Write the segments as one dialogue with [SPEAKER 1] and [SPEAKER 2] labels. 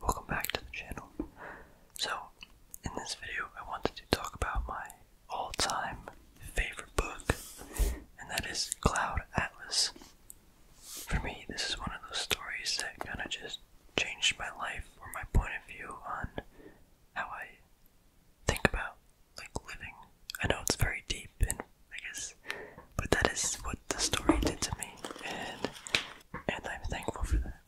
[SPEAKER 1] Welcome back to the channel. So, in this video, I wanted to talk about my all time favorite book, and that is Cloud Atlas. For me, this is one of those stories that kind of just changed my life or my point of view on how I think about like living. I know it's very deep and I guess but that is what the story did to me, and I'm thankful for that.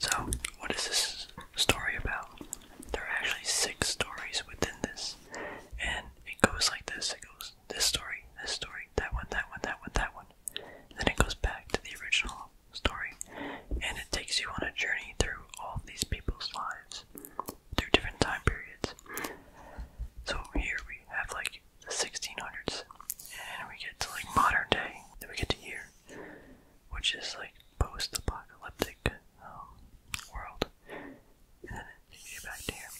[SPEAKER 1] So, what is this story about? There are actually six stories within this, and it goes like this: it goes this story, this story, that one, that one, that one, that one. And then it goes back to the original story, and it takes you on a journey through all of these people's lives through different time periods. So here we have like the 1600s, and we get to like modern day, then we get to here, which is like post-apocalyptic um, world, and then you get back here.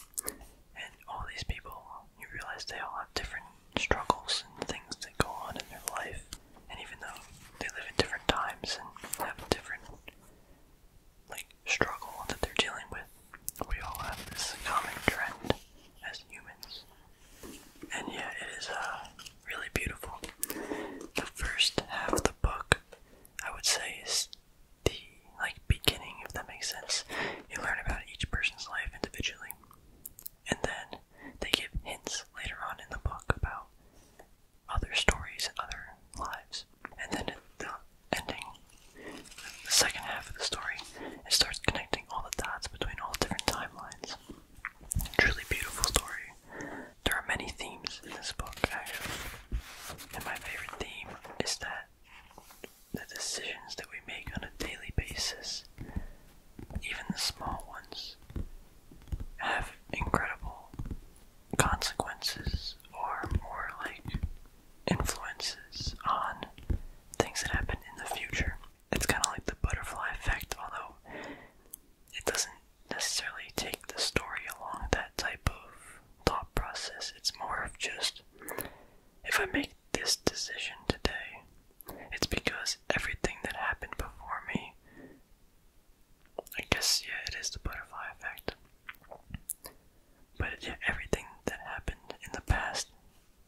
[SPEAKER 1] And all these people, you realize they all have different struggles and things that go on in their life, and even though they live in different times and have different like struggle that they're dealing with. We all have this common trend as humans. And yeah, it is uh, really beautiful. The first half of the book, I would say, is the like beginning, if that makes sense. You learn about each person's life individually, and then they give hints later on in the book about other stories and other lives. And then the ending, the second half of the story, it starts connecting all the dots between all different timelines. Truly beautiful story. There are many themes in this book, actually. And my favorite theme is that the decisions that we make on a daily basis, even the small ones, have incredible consequences or more like influences on things that happen in the future. It's kind of like the butterfly effect, although it doesn't necessarily take the story along that type of thought process. It's more of just if I make this decision today, it's because everything that happened before me. I guess, yeah, it is the butterfly effect. But yeah, everything that happened in the past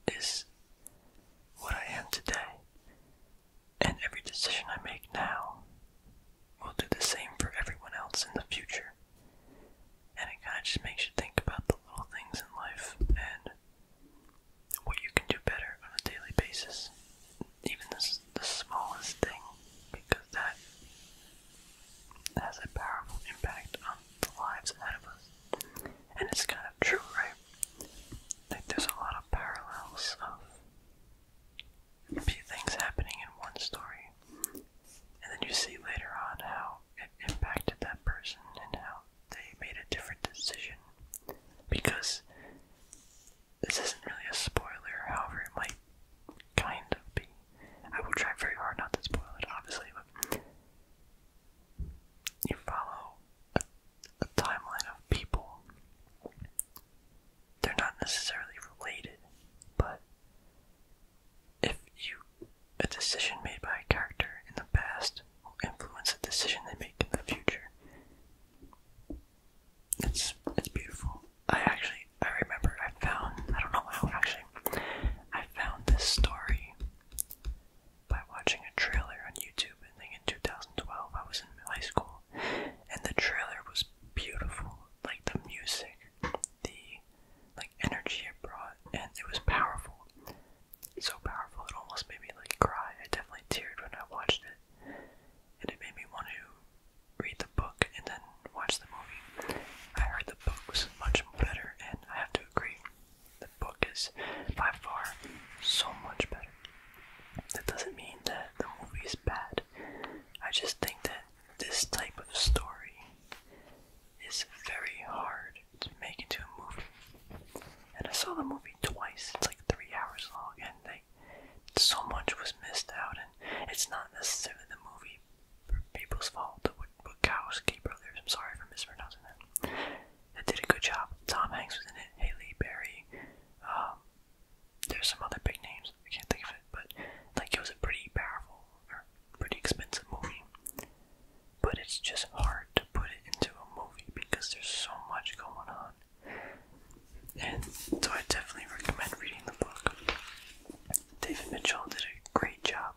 [SPEAKER 1] is what I am today. And every decision I make now will do the same for everyone else in the future. And it kind of just makes you think about the little things in life and what you can do better on a daily basis. Even this, the smallest thing, because that has a powerful impact on the lives ahead of us. And it's kind of true, right? Like, there's a lot of parallels of a few things happening in one story, and then you see later on how it impacted that person and how they made a different decision. Because this isn't really a spoiler, however, it might kind of be. I will try very hard not to spoil it, obviously, but you follow a, timeline of people. They're not necessarily related, but if you a decision made by a character in the past will influence a decision they make in the future. It's it's beautiful. I actually I remember I found I don't know how actually I found this story by watching a trailer on YouTube. I think in 2012 I was in high school, and the trailer was beautiful. Like the music, the like energy it brought, and it was powerful. So powerful it almost made me like cry. I definitely teared when I watched it, and it made me want to read the book and then watch the movie. I heard the book was much better, I have to agree, the book is by far so much better. That doesn't mean that the movie is bad. I just think that this type of story is very hard to make into a movie. And I saw the movie twice. It's like three hours long, and like so much was missed out. And it's not necessarily the movie people's fault, the Wachowski brothers, I'm sorry for mispronouncing that, that did a good job. Tom Hanks was in it, Haley Berry, um, there's some other big names, I can't think of it, but like it was a pretty powerful or pretty expensive movie. But it's just hard to put it into a movie because there's so much going on. And so I definitely recommend reading the book. David Mitchell did a great job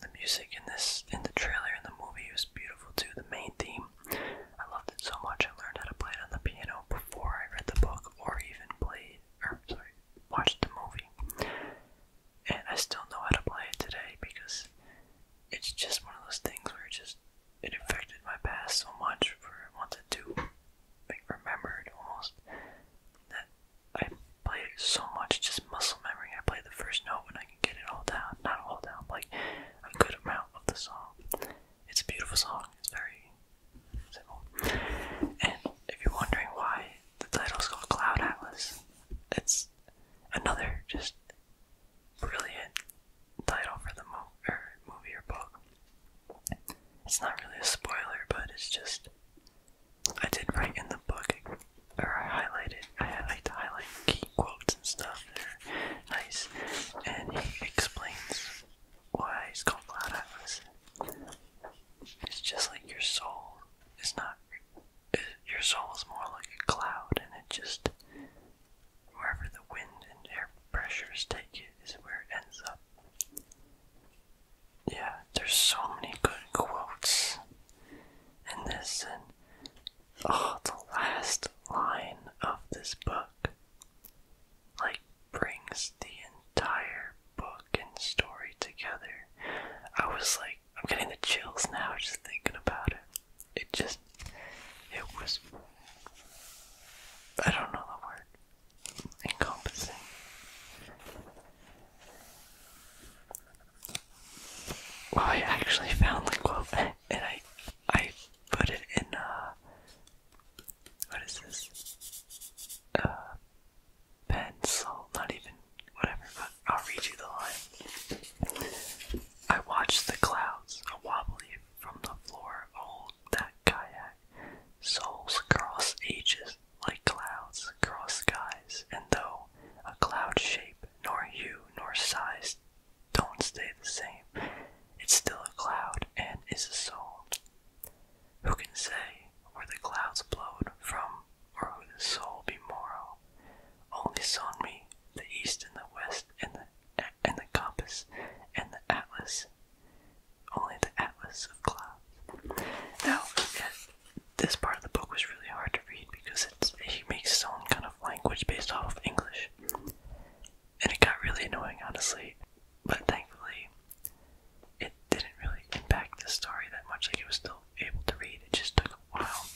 [SPEAKER 1] the music in this in the trailer in the movie was beautiful too. The main theme, I loved it so much. I learned how to play it on the piano before I read the book or even played or sorry, watched the movie. And I still know how to play it today because it's just one of those things where it just it affected my past so much for what to do remembered almost that I played so much, just muscle memory. I played the first note and I can get it all down. Not all down, like a good amount of the song. It's a beautiful song. It's very simple. And if you're wondering why the title's called Cloud Atlas, it's another just brilliant title for the mo or movie or book. It's not really a spoiler, but it's just. I did write in the book, or I highlighted, I like to highlight key quotes and stuff, they're nice, and he explains why he's called Cloud Atlas. It's just like your soul It's not, your soul is more like a cloud, and it just, wherever the wind and air pressures take it is where it ends up yeah, there's so many good quotes in this, and oh, the last line of this book like brings the entire book and story together. I was like, I'm getting the chills now just thinking about it. It just, it was, I don't know the word encompassing. I actually found the quote, and I, I put it in, uh, what is this? Uh, pencil, not even, whatever, but I'll read you the line. I watched the clouds a from the floor oh, that kayak. Souls cross ages like clouds cross skies, and though a cloud shape, nor hue, nor size don't stay the same, it's still a cloud and is a soul. Who can say where the clouds blow from, or who the soul be morrow? Only saw me the east and the west and the and the compass and the atlas only the Atlas of Clouds. Now, this part of the book was really hard to read because it's, he makes his own kind of language based off of English. And it got really annoying, honestly. But thankfully, it didn't really impact the story that much. Like, it was still able to read, it just took a while.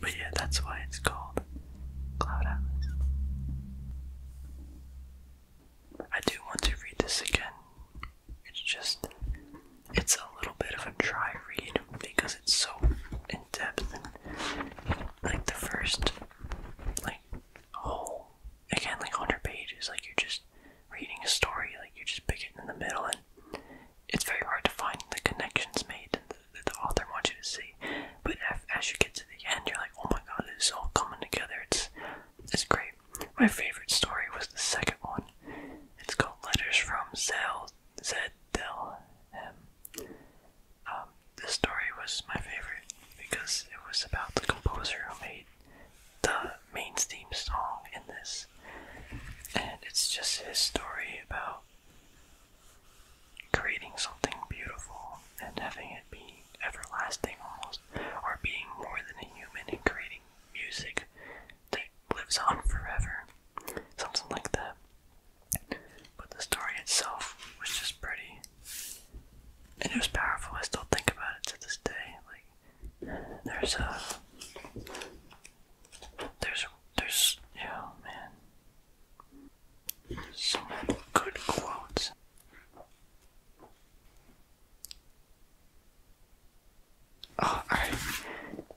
[SPEAKER 1] But yeah, that's why it's called Cloud Atlas. I do want to read this again. It's just, it's a little bit of a dry read because it's so in depth. And, like the first, like, whole, again, like 100 pages, like you're just reading a story, like you just pick it in the middle, and it's very hard to find the connections made that the, author wants you to see. But as you get to the end, you're like, oh my god, it's all coming together. It's, it's great. My favorite story was the second one. It's called Letters from Zell Zeddel M. Um, this story was my favorite because it was about the composer who made the main theme song in this. And it's just his story about creating something beautiful and having it be everlasting almost themselves or being more than a human and creating music that lives on forever. Something like that. But the story itself was just pretty. And it was powerful. I still think about it to this day. Like, there's a. There's. There's. Yeah, man. Some good quotes. Oh,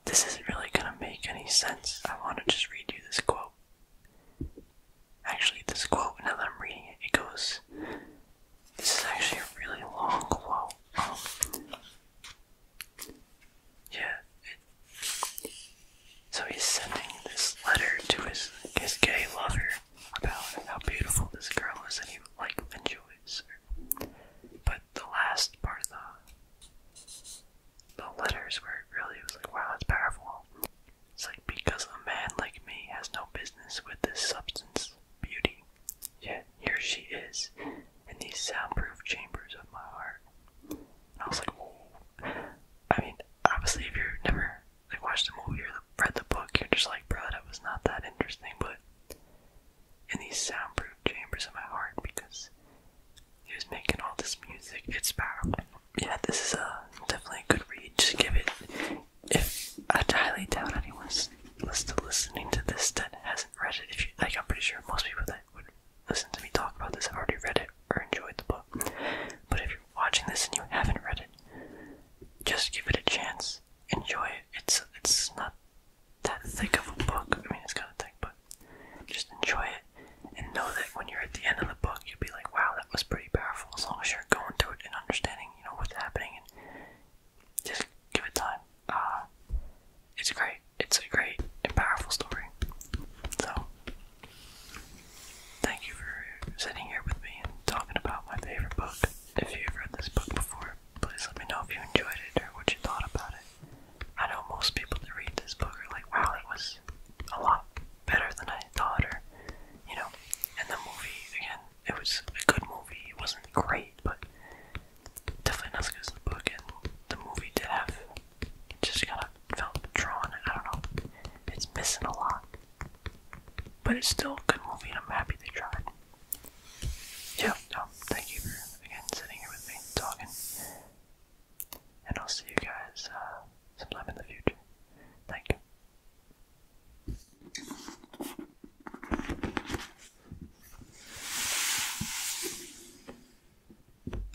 [SPEAKER 1] This isn't really gonna make any sense. I wanna just read you this quote. Actually, this quote, now that I'm reading it, it goes. This is actually a really long quote. Um, yeah. so he's sending this letter to his, his gay lover, about how beautiful this girl is and he like enjoys her. But the last part of the, the letters where it really was like, wow, that's powerful. It's like because a man like me has no business with this substance, beauty. Yet here she is in these soundproof chambers of my heart. And I was like, whoa. I mean, obviously if you're never I watched the movie or read the book, you're just like, bro, it was not that interesting. But in these soundproof chambers in my heart, because he was making all this music, it's powerful. Yeah, this is a definitely a good read. Just give it. If I highly doubt anyone's listening to this that hasn't read it. If you like, I'm pretty sure most people that would listen to me talk about this have already read it or enjoyed the book. But if you're watching this and you haven't read it, just give it a chance enjoy it. It's it's not that thick of a book. I mean, it's kind of thick, but just enjoy it and know that when you're at the end of the book, you'll be like, "Wow, that was pretty powerful." As long as you're going through it and understanding, you know, what's happening, and just give it time. Uh, it's great. It's a great and powerful story. So, thank you for sitting here with me and talking about my favorite book. If you've read this book before, please let me know if you enjoyed it or what you thought about it. I know most people that read this book are like, wow, it was a lot better than I thought, or, you know. And the movie, again, it was a good movie. It wasn't great, but definitely not as good as the book, and the movie did have. just kind of felt drawn, I don't know. It's missing a lot. But it's still a good movie and I'm happy they tried. Yeah, no, thank you for sitting here with me, talking. And I'll see you guys uh, sometime in the future. Thank you.